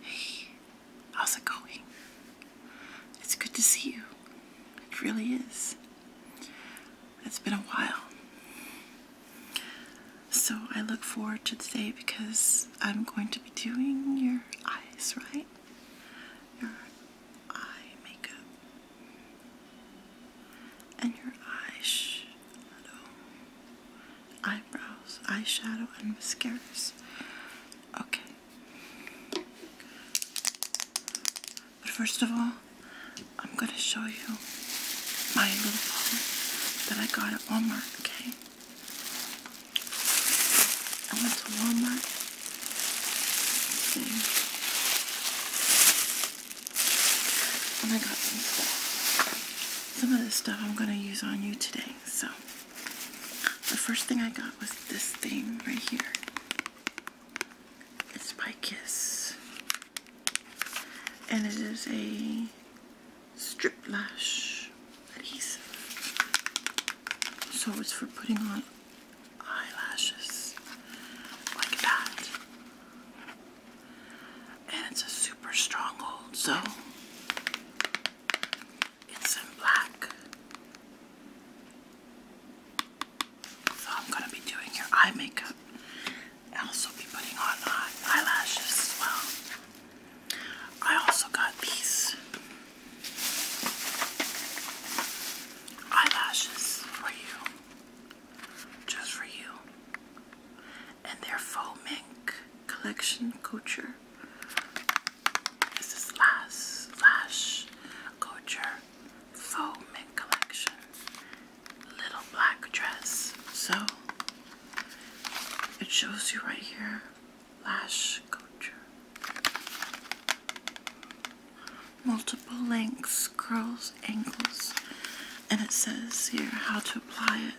Hey, how's it going? It's good to see you. It really is. It's been a while. So I look forward to today because I'm going to be doing your eyes, right? Your eye makeup and your eyes eyebrows, eyeshadow, and mascaras. Okay. But first of all, I'm gonna show you my little bowl that I got at Walmart, okay? I went to Walmart. And I got some stuff. Some of this stuff I'm gonna use on you today so the first thing I got was this thing right here. It's by Kiss. And it is a strip lash adhesive. So it's for putting on eyelashes like that and it's a super stronghold, so it's in black. So I'm going to be doing your eye makeup. i also be putting on eyelashes as well. I also got these eyelashes for you. Just for you and their faux mink collection couture. This is Lash, Lash Couture Faux Mink Collection. Little black dress. So it shows you right here Lash Couture. Multiple lengths, curls, angles, and it says here how to apply it.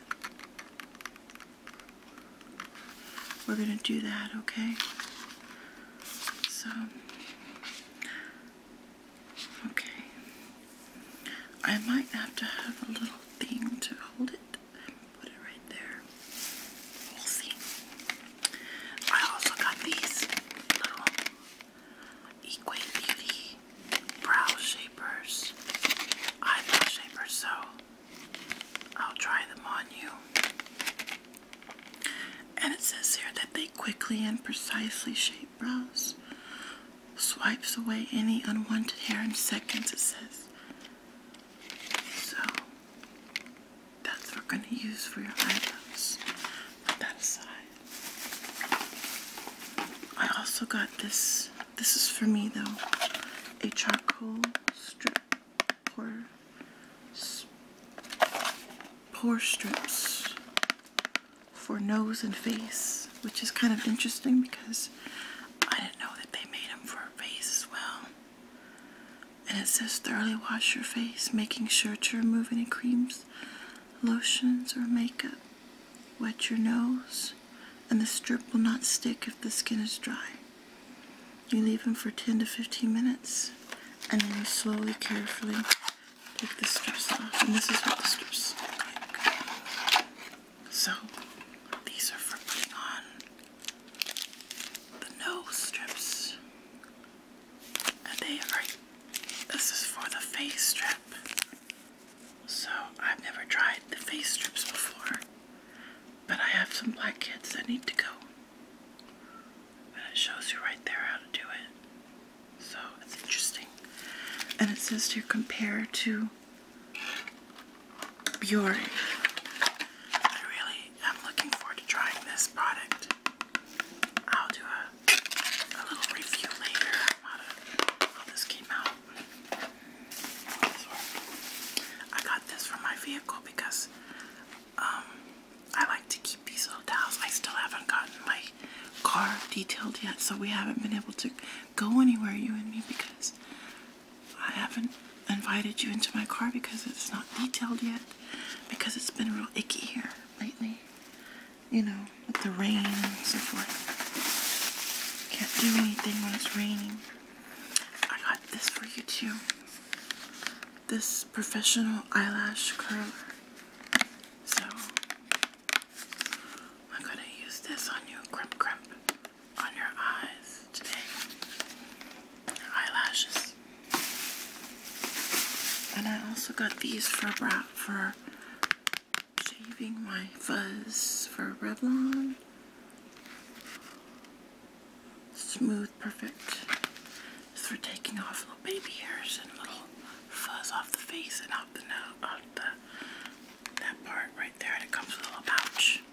We're going to do that, okay? So, okay. I might have to have a little thing to hold it put it right there. We'll see. I also got these little Equate Beauty brow shapers, eyebrow shapers, so I'll try them on you. And it says here that they quickly and precisely shape brows, swipes away any unwanted hair in seconds, it says. So that's what we're going to use for your eyebrows. Put that aside. I also got this this is for me though. A charcoal strip pour, pour strips for nose and face, which is kind of interesting because I didn't know that they made them for face as well. And it says thoroughly wash your face, making sure to remove any creams, lotions, or makeup. Wet your nose and the strip will not stick if the skin is dry. You leave them for 10 to 15 minutes, and then you slowly, carefully take the strips off. And this is what the strips look like. So, these are for the nose strips. And they are, this is for the face strip. So I've never tried the face strips before, but I have some black kids that need to go. And it shows you right there how to do it. So it's interesting. And it says to compare to Biore. I really am looking forward to trying this product. I'll do a, little review later on how this came out. I got this for my vehicle because um, I like to keep these little towels. I still haven't gotten my car detailed yet, so we haven't been able to go anywhere, you and me, because I haven't invited you into my car because it's not detailed yet, because it's been real icky here lately you know, with the rain and so forth. Can't do anything when it's raining. I got this for you too. This professional eyelash curler. So, I'm gonna use this on you, crimp crimp, on your eyes today. Your eyelashes. And I also got these for a bra for shaving my fuzz for Revlon. Smooth, perfect. It's for taking off little baby hairs and little fuzz off the face and off the nose, off the, that part right there. And it comes with a little pouch.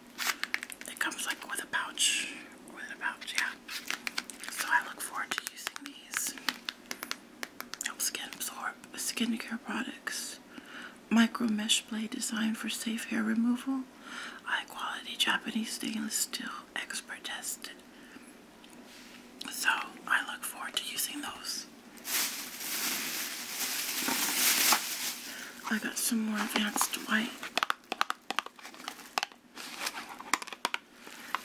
It comes like with a pouch, with a pouch, yeah. So I look forward to using these. Skin Absorb Skincare Products. Micro mesh blade designed for safe hair removal. High quality Japanese stainless steel expert tested. So I look forward to using those. I got some more advanced white.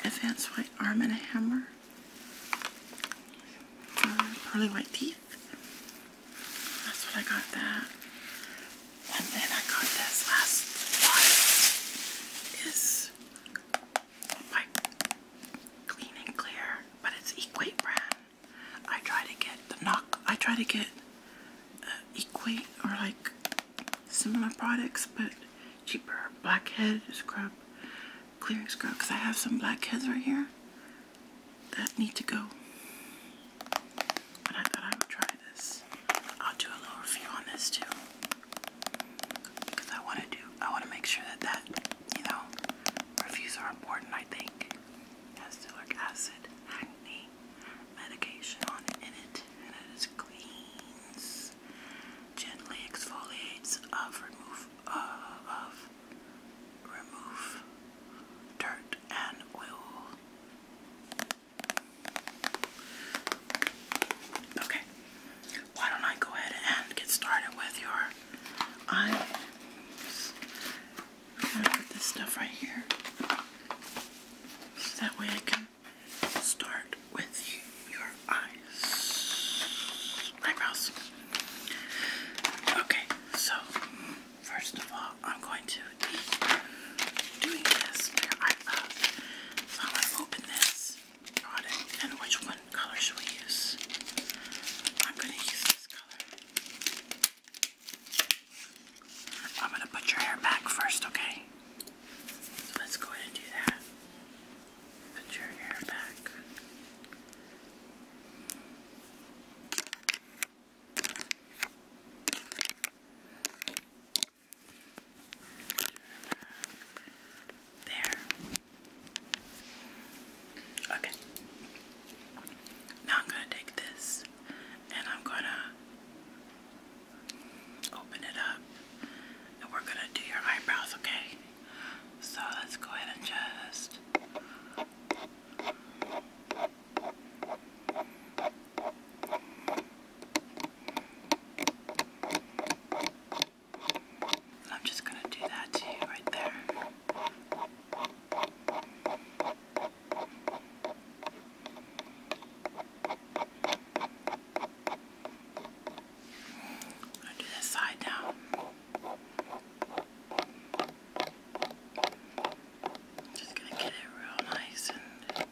Advanced white arm and a hammer. Uh, pearly white teeth. That's what I got that. And then I got this last one. Is by Clean and Clear, but it's Equate brand. I try to get the knock. I try to get uh, Equate or like similar products, but cheaper. Blackhead scrub. Clearing as because I have some black heads right here that need to go. But I thought I would try this. I'll do a little review on this too I want to do. I want to make sure that that you know reviews are important. I think Castilic acid acne medication on it and it is cleans, gently exfoliates uh, uh, of remove of remove dirt and oil. Okay, why don't I go ahead and get started with your eye? am gonna put this stuff right here so that way I can start with your eyes, eyebrows. Okay, so first of all, I'm going to be doing this I'm going to open this product, and which one color should we use? I'm going to use this color. I'm going to put your hair back first, okay? So let's go ahead and do that. Put your hair back. There. Okay. Now I'm going to take this and I'm going to open it up and we're going to do your eyebrows, okay? So let's go ahead and just I'm just going to do that right there. I do this side now. Just gonna get it real nice and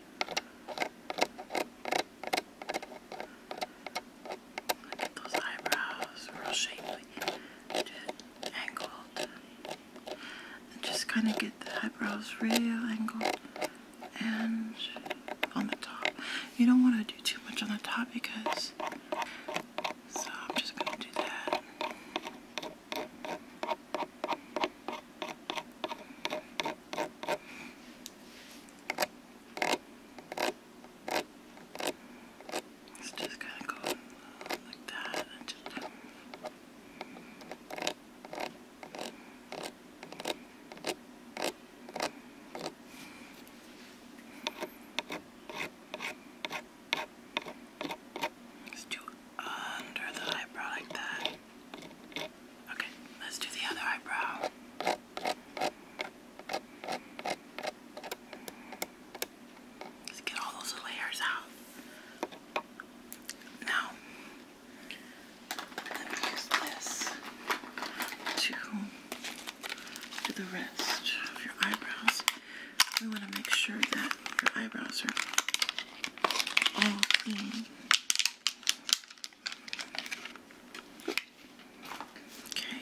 get those eyebrows real shapely, just angled. And just kind of get the eyebrows real angled and on the top. You don't want to do too much on the top because, so I'm just going to do that. It's just kind of go like that and just Let's do under the eyebrow like that. Okay, let's do the other eyebrow. Let's get all those layers out. Now, let me use this to to the rest of your eyebrows. We want to make sure that your eyebrows are all clean. Okay.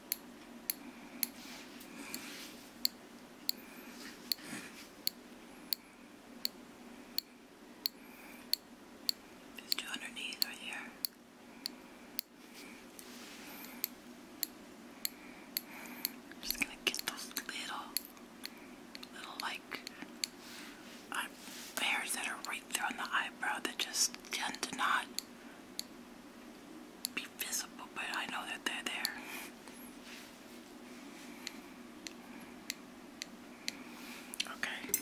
There's two underneath right here. just gonna get those little, little like hairs that are right there on the eyebrow that just tend to not be visible, but I know that they're there. Okay,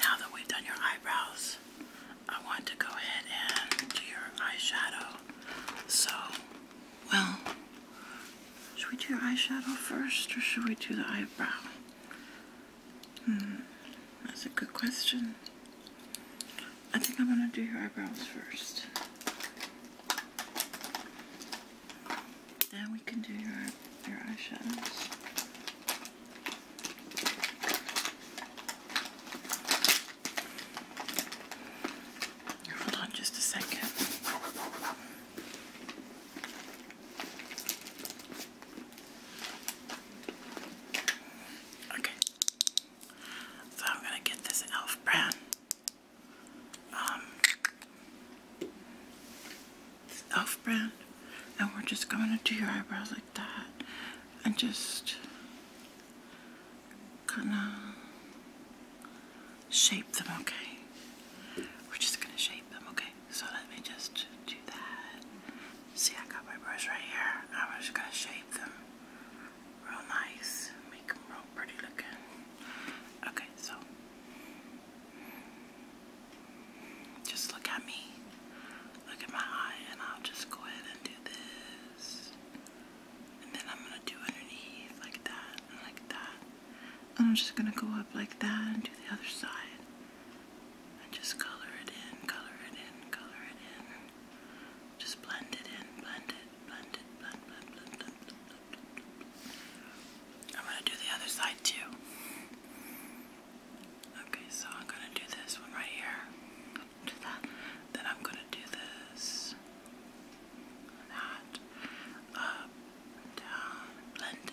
now that we've done your eyebrows, I want to go ahead and do your eyeshadow. So, well, should we do your eyeshadow first or should we do the eyebrow? Hmm, that's a good question. I think I'm going to do your eyebrows first. Then we can do your, your eyeshadows. Hold on just a second. Okay. So I'm gonna get this elf brown. Um elf brown and we're just gonna do your eyebrows like that and just gonna shape them, okay? We're just gonna shape them, okay? so let me just do that. See, I got my brush right here. I'm just gonna shape them real nice, make them real pretty looking. Okay, so just look at me, look at my eye, and I'll just go ahead and do this. And then I'm gonna do underneath like that and like that. And I'm just gonna go up like that and do the other side just color it in, color it in, color it in. Just blend it in, blend it, blend it, blend, blend, blend, blend. I'm gonna do the other side too. Okay, so I'm gonna do this one right here. Do that. Then I'm gonna do this. That. Up, down, blend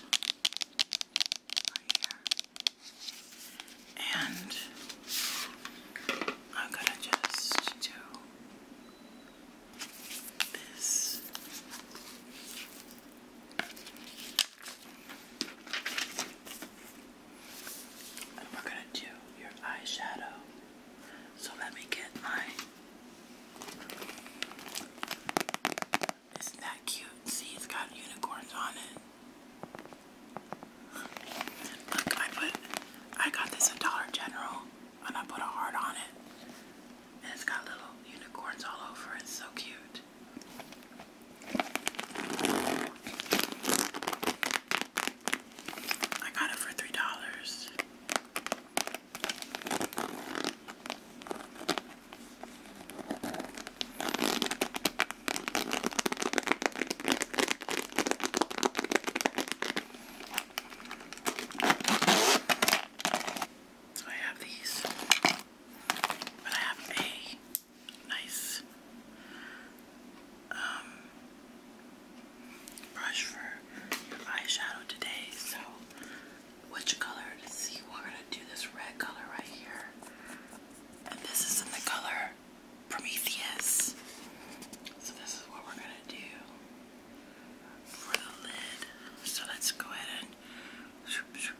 right here. And I'm gonna just do this. And we're gonna do your eyeshadow. So let me get my isn't that cute? See, it's got unicorns on it. Look, I put, I got this at Dollar General, and I put a heart on it. And it's got little unicorns all over it. It's so cute. I got it for $3. So I have these, but I have a nice um, brush for eyeshadow today, so which color to see. We're gonna do this red color right here. And this is in the color Prometheus. So this is what we're gonna do for the lid. So let's go ahead and I'm gonna do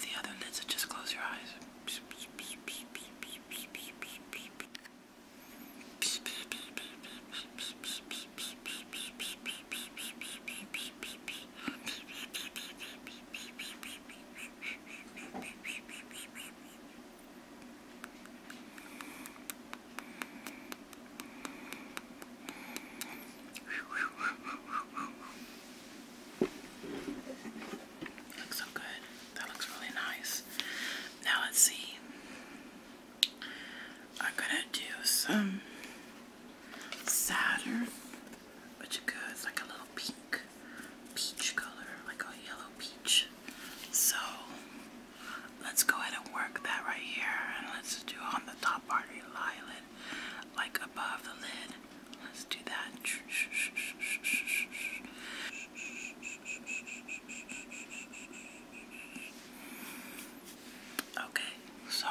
the other lid, so just close your eyes. Looks so good. That looks really nice. Now let's see. I'm gonna do some Saturn, which is good. like a little pink peach color, like a yellow peach. So let's go ahead and work that right here, and let's do on the top part of your eyelid, like above the lid. Let's do that. Okay, so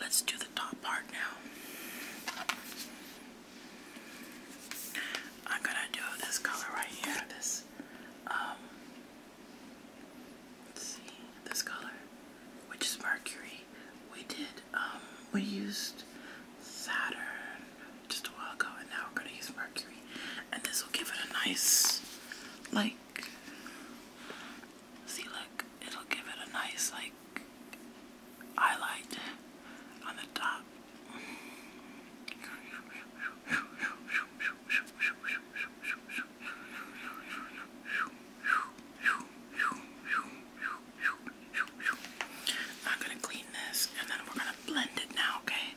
let's do the top part now. I'm gonna do this color right here. This, um, see, this color, which is Mercury. We did, um, we used Saturn just a while ago, and now we're gonna use mercury, and this will give it a nice, like, see, look, it'll give it a nice, like, highlight on the top. I'm gonna clean this and then we're gonna blend it now, okay?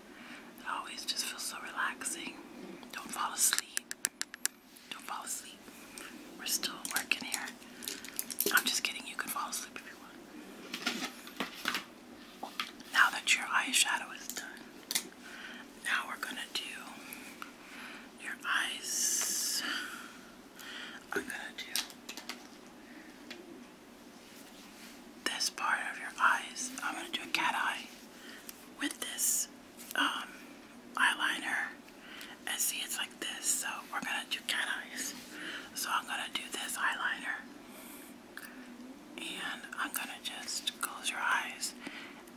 It always just feels so relaxing. Don't fall asleep. Don't fall asleep. We're still working here. I'm just kidding. You can fall asleep if you want. Now that your eyeshadow is done, now we're gonna do your eyes. I'm gonna do this part of your eyes. I'm gonna do a cat eye with this um, eyeliner. And see, it's like this. So we're gonna do cat eyes. So I'm gonna do this eyeliner. And I'm gonna just close your eyes.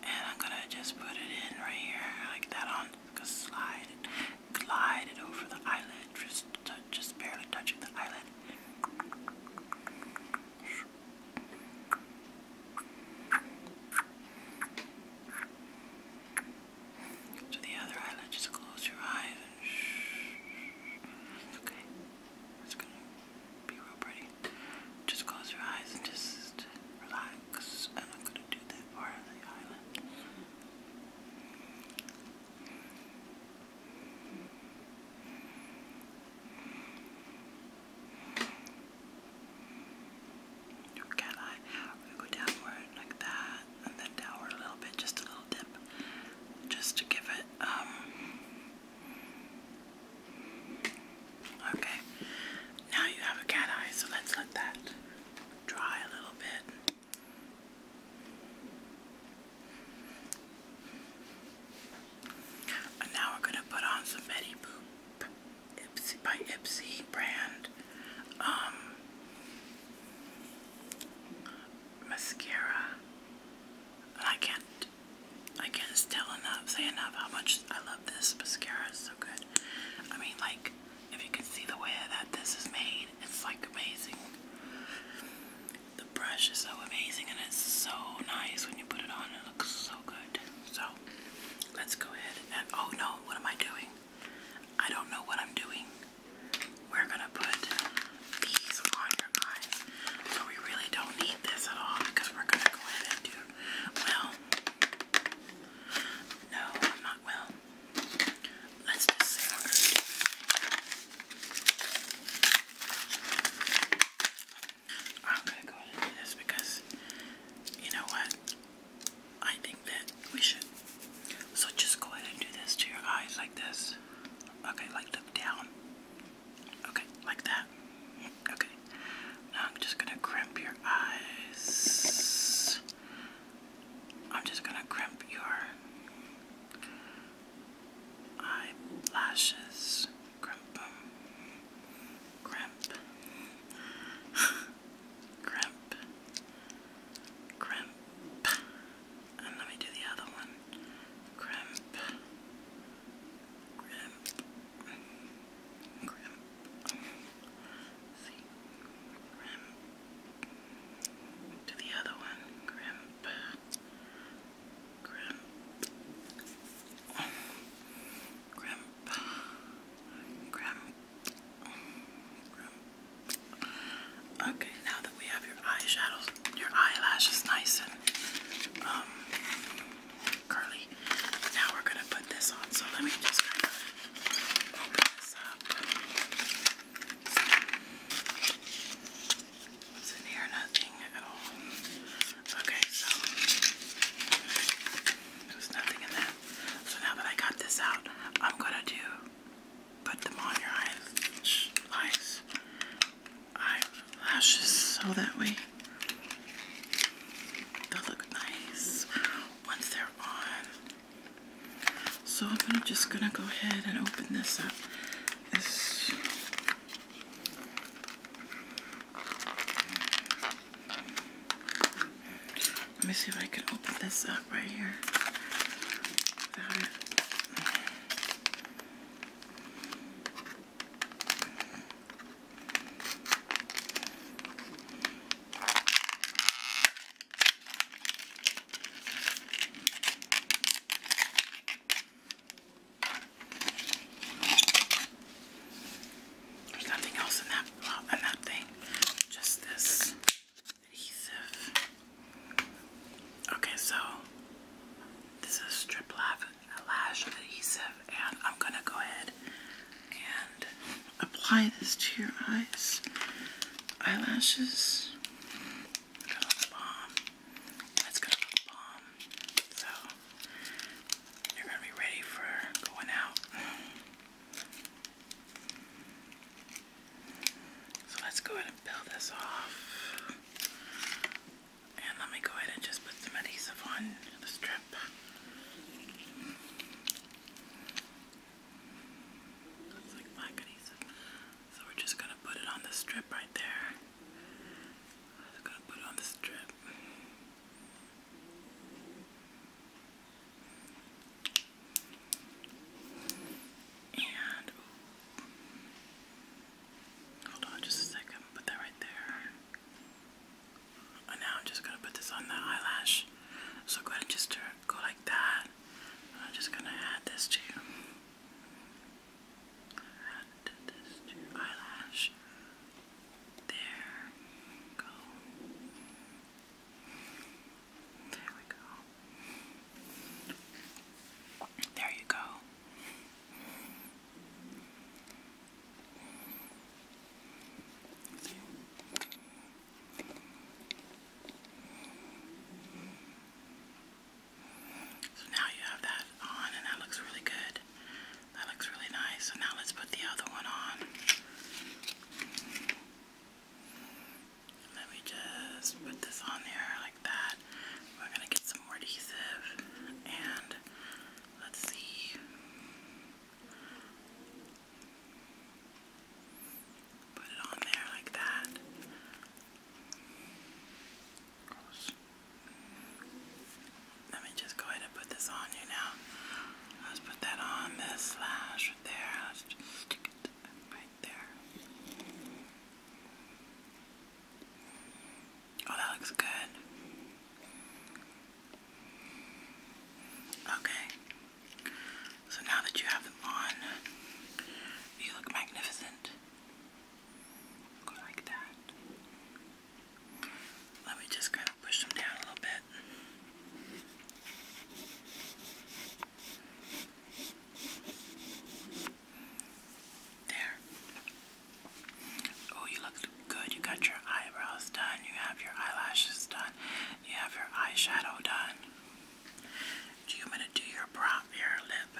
And I'm gonna just put it in right here, like that on. Just slide it, glide it over the eyelid, just, just barely touching the eyelid. To the other eyelid, just close your eyes and Okay. It's gonna be real pretty. Just close your eyes and just relax. And I'm gonna do that part of the eyelid. Okay, line. We go downward like that, and then downward a little bit, just a little dip, just to give it. Um, okay, now you have a cat eye, so let's let that dry a little bit. And now we're going to put on some Betty Boop by Ipsy brand um, mascara. And I can't, I can't tell enough, say enough how much I love this mascara. so good. I mean, like, if you can see the way that this is made, it's like amazing. The brush is so amazing and it's so nice when you put it on. It looks so good. So let's go ahead and oh no, what am I doing? I don't know what I'm doing. We're gonna put these on your eyes. So we really don't need this at all because we're gonna go ahead and do well. No, I'm not well. Let's just say I'm gonna go ahead and do this because you know what? I think that we should. So just go ahead and do this to your eyes like this. Okay, like look down. Okay, like that. Okay. Now I'm just gonna crimp your eyes. I'm just gonna crimp your eyelashes crimp crimp crimp crimp and let me do the other one crimp crimp crimp see crimp to the other one crimp Grim. Grim. Okay, now that we have your eyeshadows, your eyelashes nice and um, curly, now we're gonna put this on. So let me just open this up. It's in here, Okay, so there's nothing in that. So now that I got this out, I'm gonna do put them on your eyes, eyes, eyelashes, so that way they look nice once they're on. So I'm just gonna go ahead and open this up. Let me see if I can open this up right here. Without it. There's nothing else in that, in that thing, just this adhesive. Okay, so this is strip lash adhesive, and I'm gonna go ahead and apply this to your eyes, eyelashes. It's gonna look bomb. That's gonna a bomb. So you're gonna be ready for going out. So let's go ahead and peel this off. And let me go ahead and just put some adhesive on the strip. It's like black adhesive. So we're just gonna put it on the strip right there. I'm gonna put it on the strip. And hold on just a second, put that right there. And now I'm just gonna put this on the eyelash. So go ahead and just go like that. I'm just gonna add this to you. And this to your eyelash. There go. There we go. There you go. So now you have that on and that looks really good. That looks really nice. So now let's put the other one on. Let me just put this on there like that. We're gonna get some more adhesive and let's see. Put it on there like that. Gross. Let me just go ahead and put this on you now. Let's put that on this lash right there. Let's just stick it right there. Oh, that looks good. Okay. So now that you have them on, you look magnificent. like that. Let me just kind of push them down a little bit. There. Oh, you look good. You got your eyebrows done. You have your eyelashes done. You have your eyeshadow done you want me to do your brow, your lip?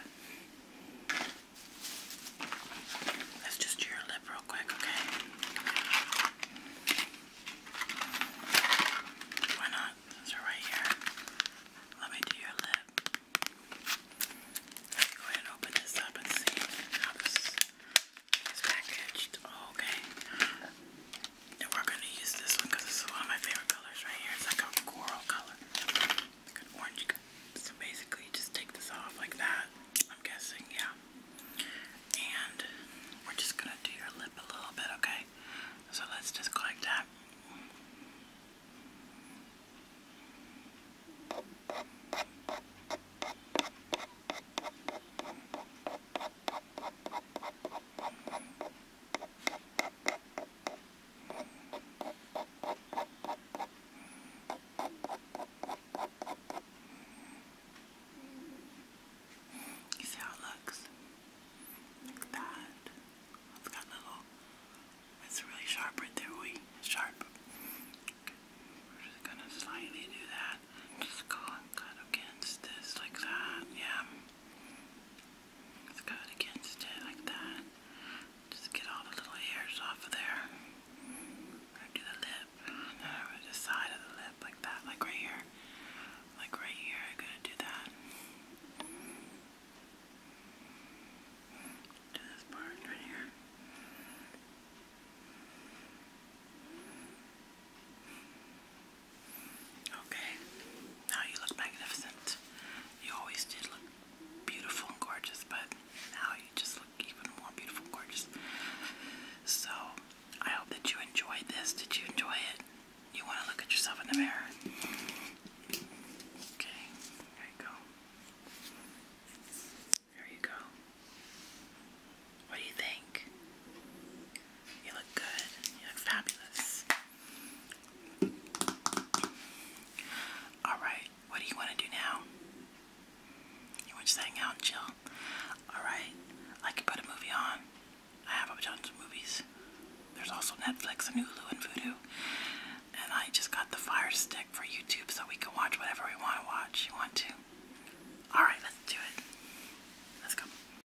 Let's just do your lip real quick, okay? Why not? So right here. Let me do your lip. go ahead and open this up and see how this is okay. And we're gonna use this one because it's one of my favorite colors right here. It's like a coral color, like an orange. So basically, just take this off like that. I'm guessing, yeah. And we're just gonna do your lip a little bit, okay? So let's just go like that. You see how it looks? Like that. It's got little. It's really sharp right there. We sharp. We're just gonna slightly do that. Just go and cut against this like that. Yeah. Let's go against it like that. Just get all the little hairs off of there. Right to the lip. And then over the side of the lip like that, like right here. Like right here, I'm to do that. Do this part right here. Okay. Now you look magnificent. You always did look beautiful and gorgeous, but now you just look even more beautiful and gorgeous. So, I hope that you enjoyed this. Did you enjoy it? You want to look at yourself in the mirror? Okay, there you go. There you go. What do you think? You look good. You look fabulous. Alright, what do you want to do now? You want to just hang out and chill? Alright, I can put a movie on. I have a bunch of movies. There's also Netflix and Hulu and Vudu. And I just got the Fire Stick for YouTube so we can watch whatever we want to watch. You want to? Alright, let's do it. Let's go.